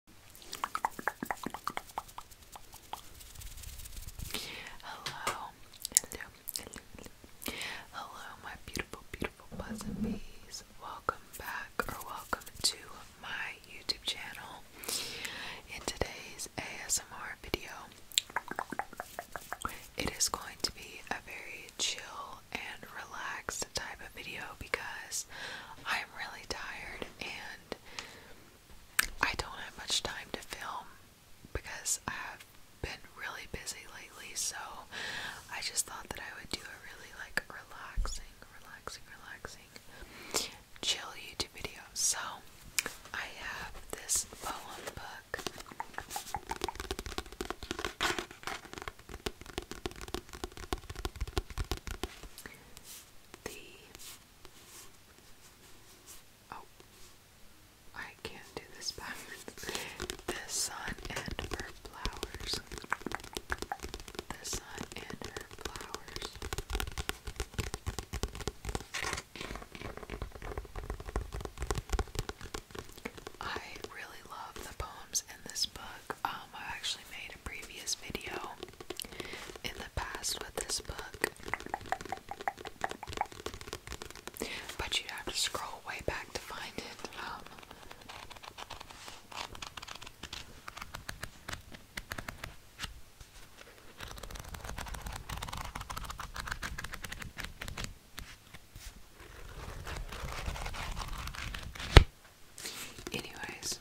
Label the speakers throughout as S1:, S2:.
S1: Hello, hello, hello, my beautiful, beautiful buzz and bees. Welcome back, or welcome to my YouTube channel. In today's ASMR video, it is going to be a very chill and relaxed type of video because I'm really tired and I don't have much time to film because I have been really busy lately, so I just thought that I would do a really like relaxing, relaxing, relaxing, chill YouTube video. So I have this poem book the oh I can't do this backwards. The sun and her flowers. The sun and her flowers. I really love the poems in this book. Um, i actually made a previous video in the past with this book. But you have to scroll way back to find it. Um, Anyways,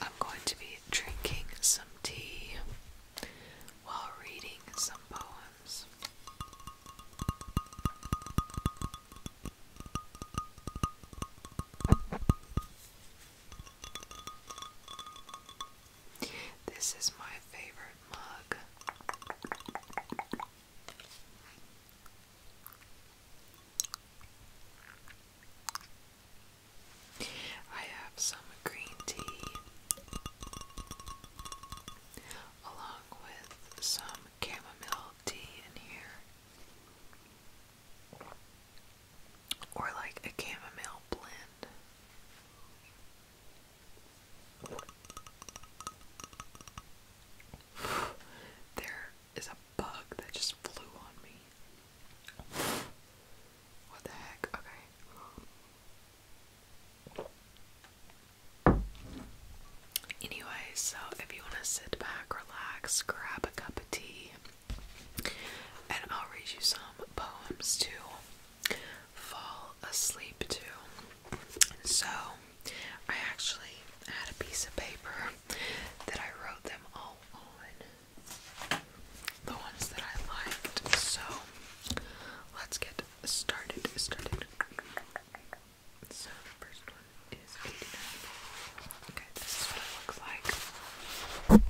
S1: I'm going to be drinking some tea while reading some poems. This is my favorite mug. I have some green tea along with some chamomile tea in here, or like a chamomile blend. they is a bug that just flew on me. What the heck? Okay. Anyway, so if you want to sit back, relax, grab a cup of tea, and I'll read you some poems to fall asleep to. So, I actually I had a piece of paper that I wrote them all on. The ones that I liked. So let's get started. Started. So first one is Okay, this is what it looks like.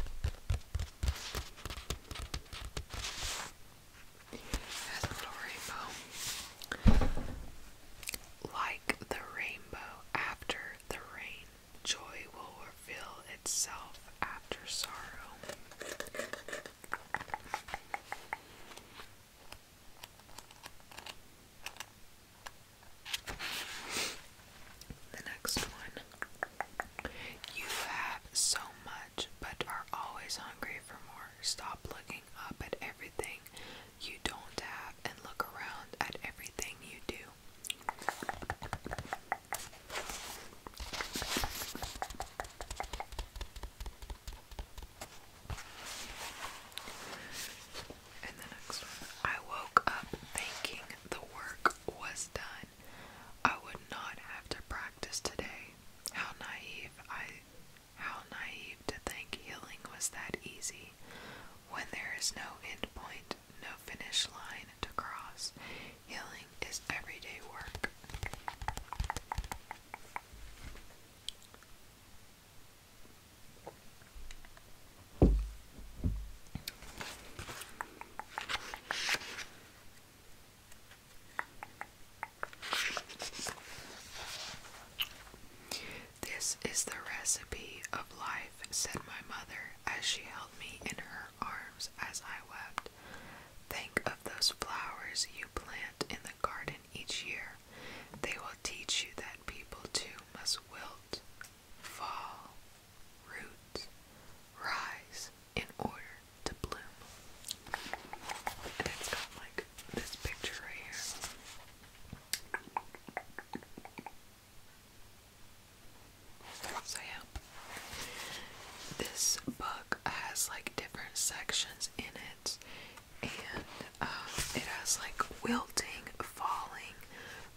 S1: Like the rainbow after the rain, joy will reveal itself after sorrow. The next one. You have so much, but are always hungry for more. Stop looking up at everything you don't have and look around at everything you do. And the next one I woke up thinking the work was done. I would not have to practice today. How naive I how naive to think healing was that easy. When there is no end point, no finish line to cross, healing is everyday work. This is the recipe of life, said my mother as she held me in her arms as I wept. Think of those flowers you plant in the garden each year. They will teach you that people too must wilt, fall, root, rise in order to bloom. it's got like this picture right here. So yeah, this book has like different sections in it, and um, it has like wilting, falling,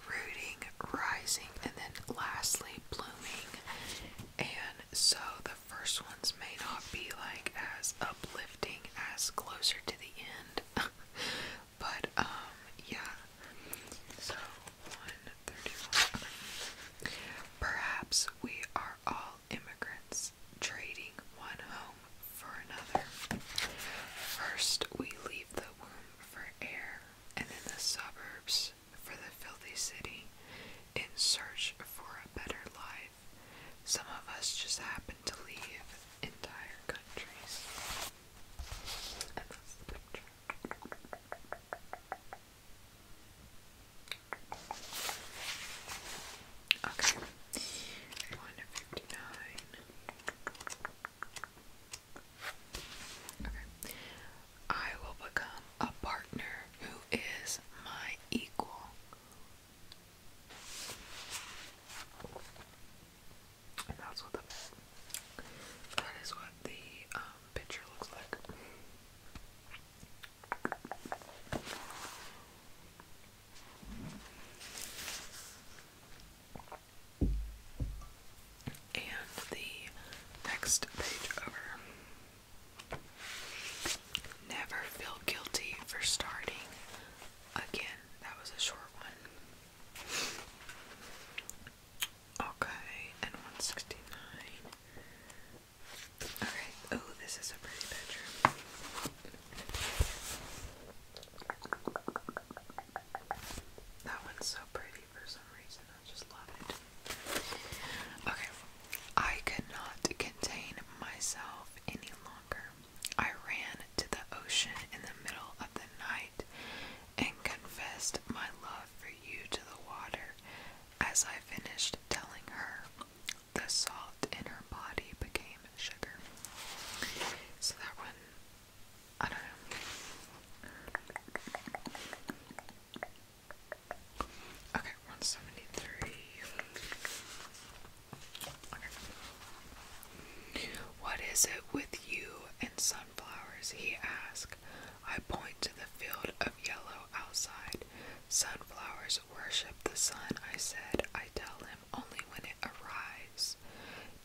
S1: rooting, rising, and then lastly blooming. And so the first ones may not be like as uplifting as closer to the end. But um yeah. So Perhaps we are all immigrants trading one home for another. First we leave the womb for air and then the suburbs for the filthy city in search for a better life. Some of us just happen to leave entire countries. Okay. One fifty nine. Okay. I will become a partner who is my equal that's what the that is what the um, picture looks like. And the next page over. Never feel guilty for starting again. That was a short one. Okay, and 169. Alright, oh, this is a pretty bedroom. That one's so pretty for some reason. I just love it. Okay, I could not contain myself any longer. I ran to the ocean in the middle of the night and confessed my love for you to the water. As I finished telling her, the salt in her body became sugar. So that one, I don't know. Okay, 173. Okay. What is it with you and sunflowers? he asked. I point to the field of yellow outside. Sunflowers worship the sun, I said. I tell him only when it arrives.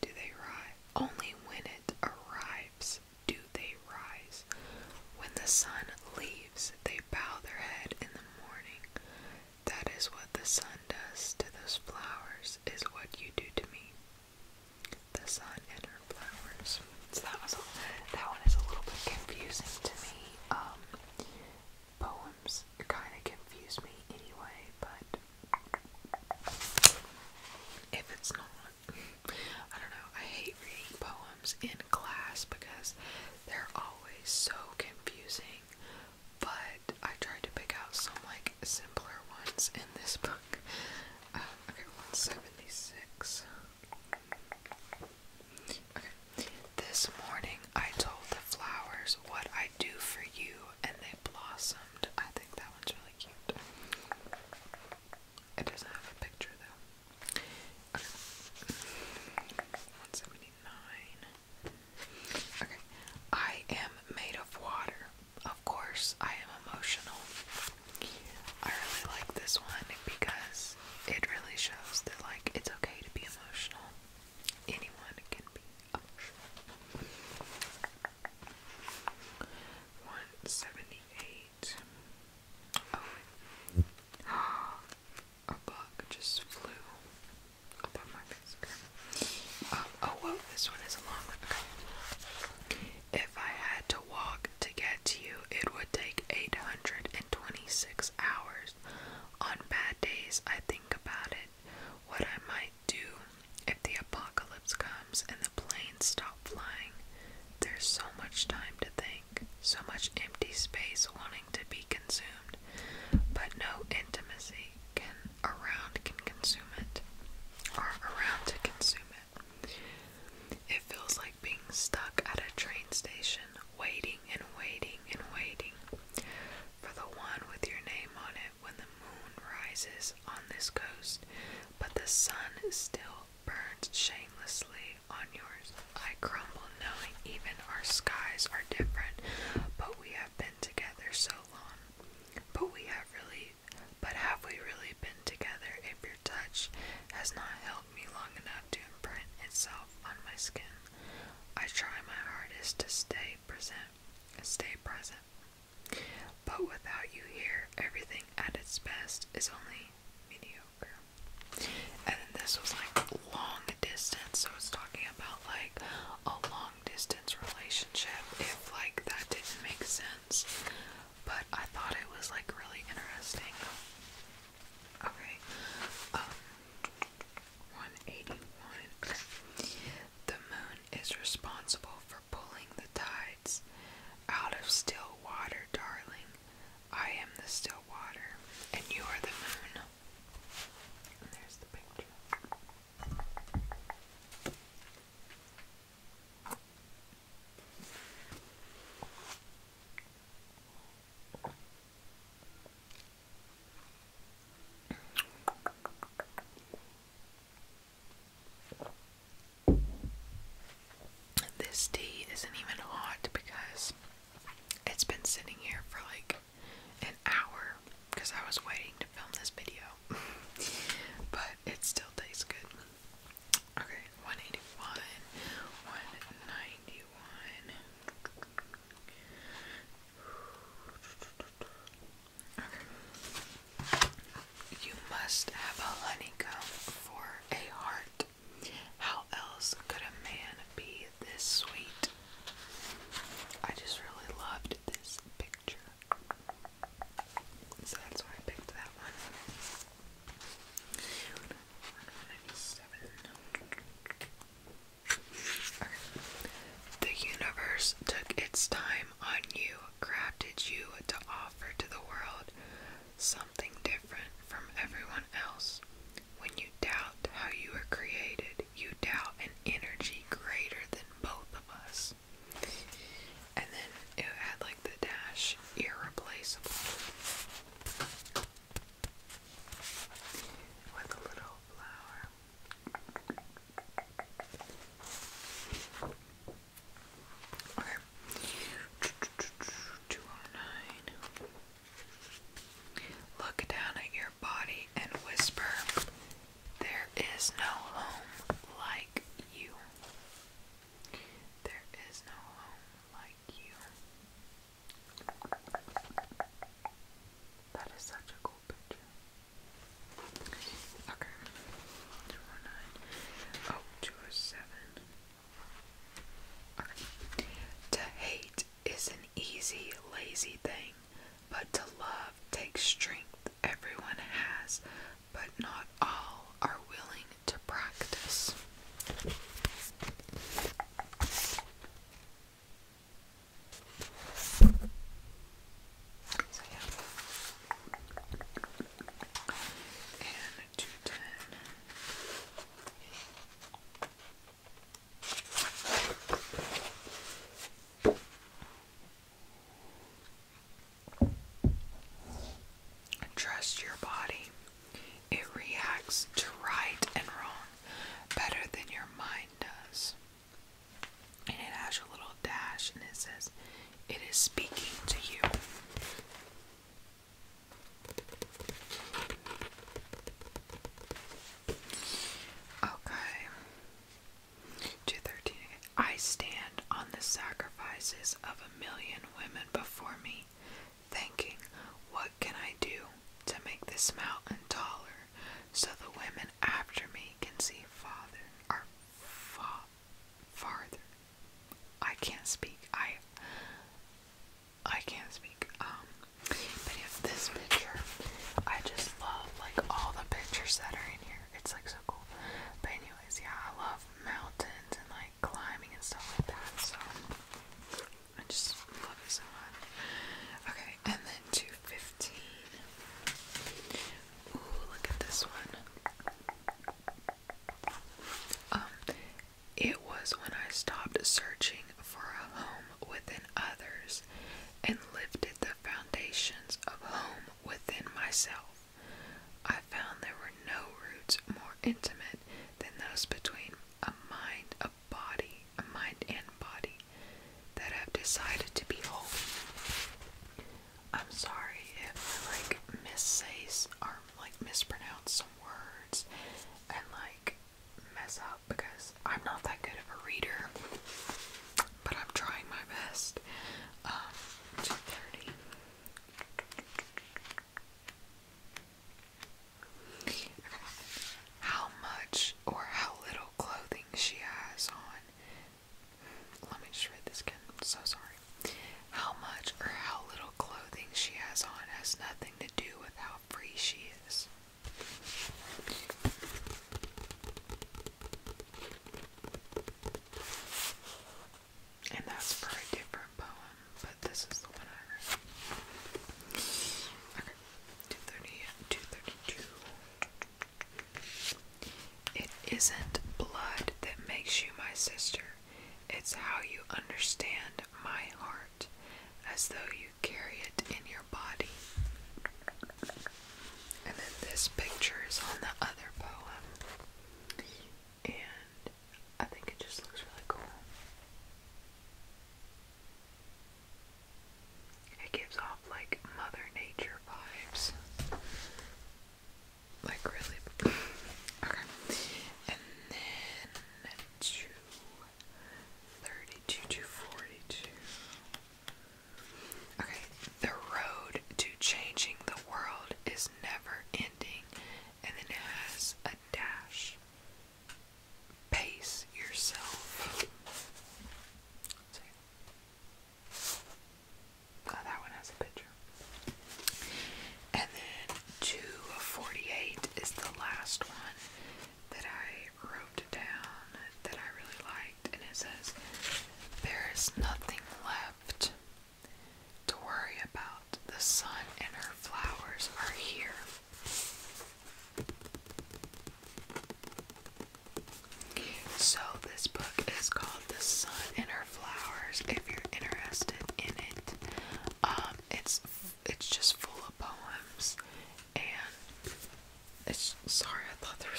S1: Do they rise? Only when it arrives do they rise. When the sun leaves, they bow their head in the morning. That is what the sun does to those flowers is what you do to me. The sun and her flowers. So that was a, that one is a little bit confusing to me. Um, poems kind of confuse me anyway, but if it's not, I don't know. I hate reading poems in class because they're always so confusing but I tried to pick out some like simpler ones in this book. Uh, okay, 176. Okay. This morning I told the flowers what I do for you and they blossomed. I think that one's really cute. It doesn't have a picture though. 179. Okay. I am made of water. Of course, I am emotional. I really like this one because it really shows that, like, it's okay to be emotional. Anyone can be emotional. 178. Oh, a bug just flew um, oh, whoa, this one is a long one. If I had to walk to get to you, it would take 826 hours. On bad days, I think about it. What I might do if the apocalypse comes and the planes stop flying. There's so much time to think, so much empty space wanting to be consumed, but no intimacy can around can consume it, or around to consume it. It feels like being stuck at a train station, waiting and waiting and waiting for the one with your name on it when the moon rises on this coast, but the sun still burns shamelessly on yours. I crumble knowing even our skies are different, but we have been together so long. But we have really, but have we really been together if your touch has not held me long enough to imprint itself on my skin? I try my hardest to stay present, stay present. But without you here, everything at its best is only mediocre. And this was like long distance, so it's talking about like a long distance relationship if like that didn't make sense. But I thought it was like really interesting. Okay. Um, 181. The moon is responsible for pulling the tides out of still water, darling. I am the still water, and you are the moon. there's the picture. This tea isn't even hot because it's been sitting here for like hour because I was waiting to film this video. but it still tastes good. Okay, 181, 191. Okay. You must have a honeycomb for a heart. How else could a man be this sweet? I just really loved this picture. So that's why I picked that one. The universe took its time on you, crafted you to offer to the world something different from everyone else. When you doubt how you were created, you doubt an energy greater than both of us. And then it had like the dash irreplaceable with a little flower. 209. Look down at your body and whisper, there is no home like you. There is no home like you. That is such a cool picture. Okay. 209. Oh, 207. Okay. To hate is an easy, lazy thing. But to love takes strength. Everyone has, but not all are willing to practice. So, yeah. And two ten. Trust your body. It reacts to right and wrong better than your mind does. And it has a little dash and it says, It is speaking to you. Okay. 213. I stand on the sacrifices of a million women before me, thinking, What can I do to make this mountain taller so the women after me can see farther I can't speak. I I can't speak. Um but if this picture I just love like all the pictures that are in here. It's like so cool. But anyways, yeah, I love mountains and like climbing and stuff like that. So I just love it so much. Okay, and then two fifteen. Ooh, look at this one. Um, it was when I stopped searching for a home within others and lived the foundations of home within myself. I found there were no roots more intimate than those between a mind, a body, a mind and body that have decided to be home. I'm sorry if I like missays or like mispronounce some words and like mess up because I'm not that good of a reader but I'm trying my best. Um, 230. How much or how little clothing she has on. Let me just this again. so sorry. How much or how little clothing she has on has nothing to do with how free she is. And that's for a different poem, but this is the one Okay, 232. It isn't blood that makes you my sister, it's how you understand my heart, as though you carry it in your body. And then this picture is on the other poem. And I think it just looks really cool. It gives off like Mother Nature vibes. Like, really. Okay. And then 232 to Okay, the road to changing the world is never ending, and then it has a dash. Pace yourself. Oh, that one has a picture. And then 248 is the last one that I wrote down that I really liked, and it says, There is nothing left to worry about. The sun and her flowers are here. So, this book is called The Sun and Her Flowers if you're interested in it. Um, it's it's just full of poems and it's sorry, I thought there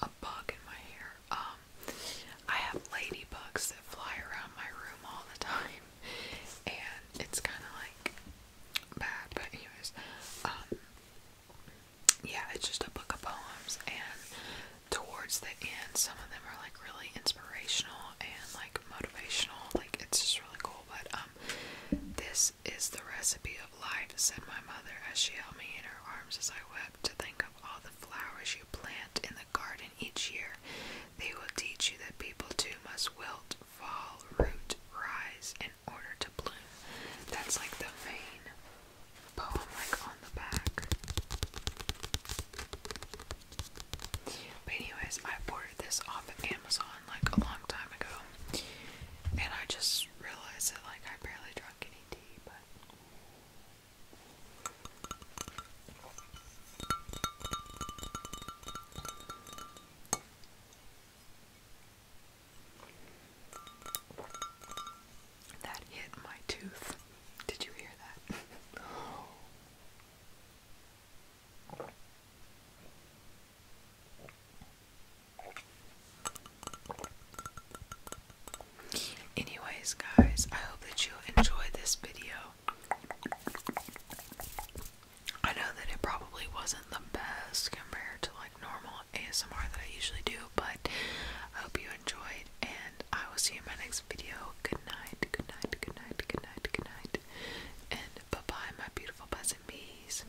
S1: a bug in my hair. Um, I have ladybugs that fly around my room all the time, and it's kind of like bad. But anyways, um, yeah, it's just a book of poems, and towards the end, some of them are like really inspirational and like motivational. Like it's just really cool. But um, this is the recipe of life, said my mother as she held me in her arms as I wept, to think of all the flowers you plant in the garden each year. They will teach you that people too must wilt, fall, root, rise, in order to bloom. That's like the main poem, like on the back. But anyways, I ordered this off Amazon like a long time ago, and I just just that like I barely drank any tea, but that hit my tooth. Did you hear that? Anyways, guys, I hope that you enjoyed this video. I know that it probably wasn't the best compared to like normal ASMR that I usually do, but I hope you enjoyed and I will see you in my next video. Good night, good night, good night, good night, good night. And bye-bye my beautiful buzzing bees.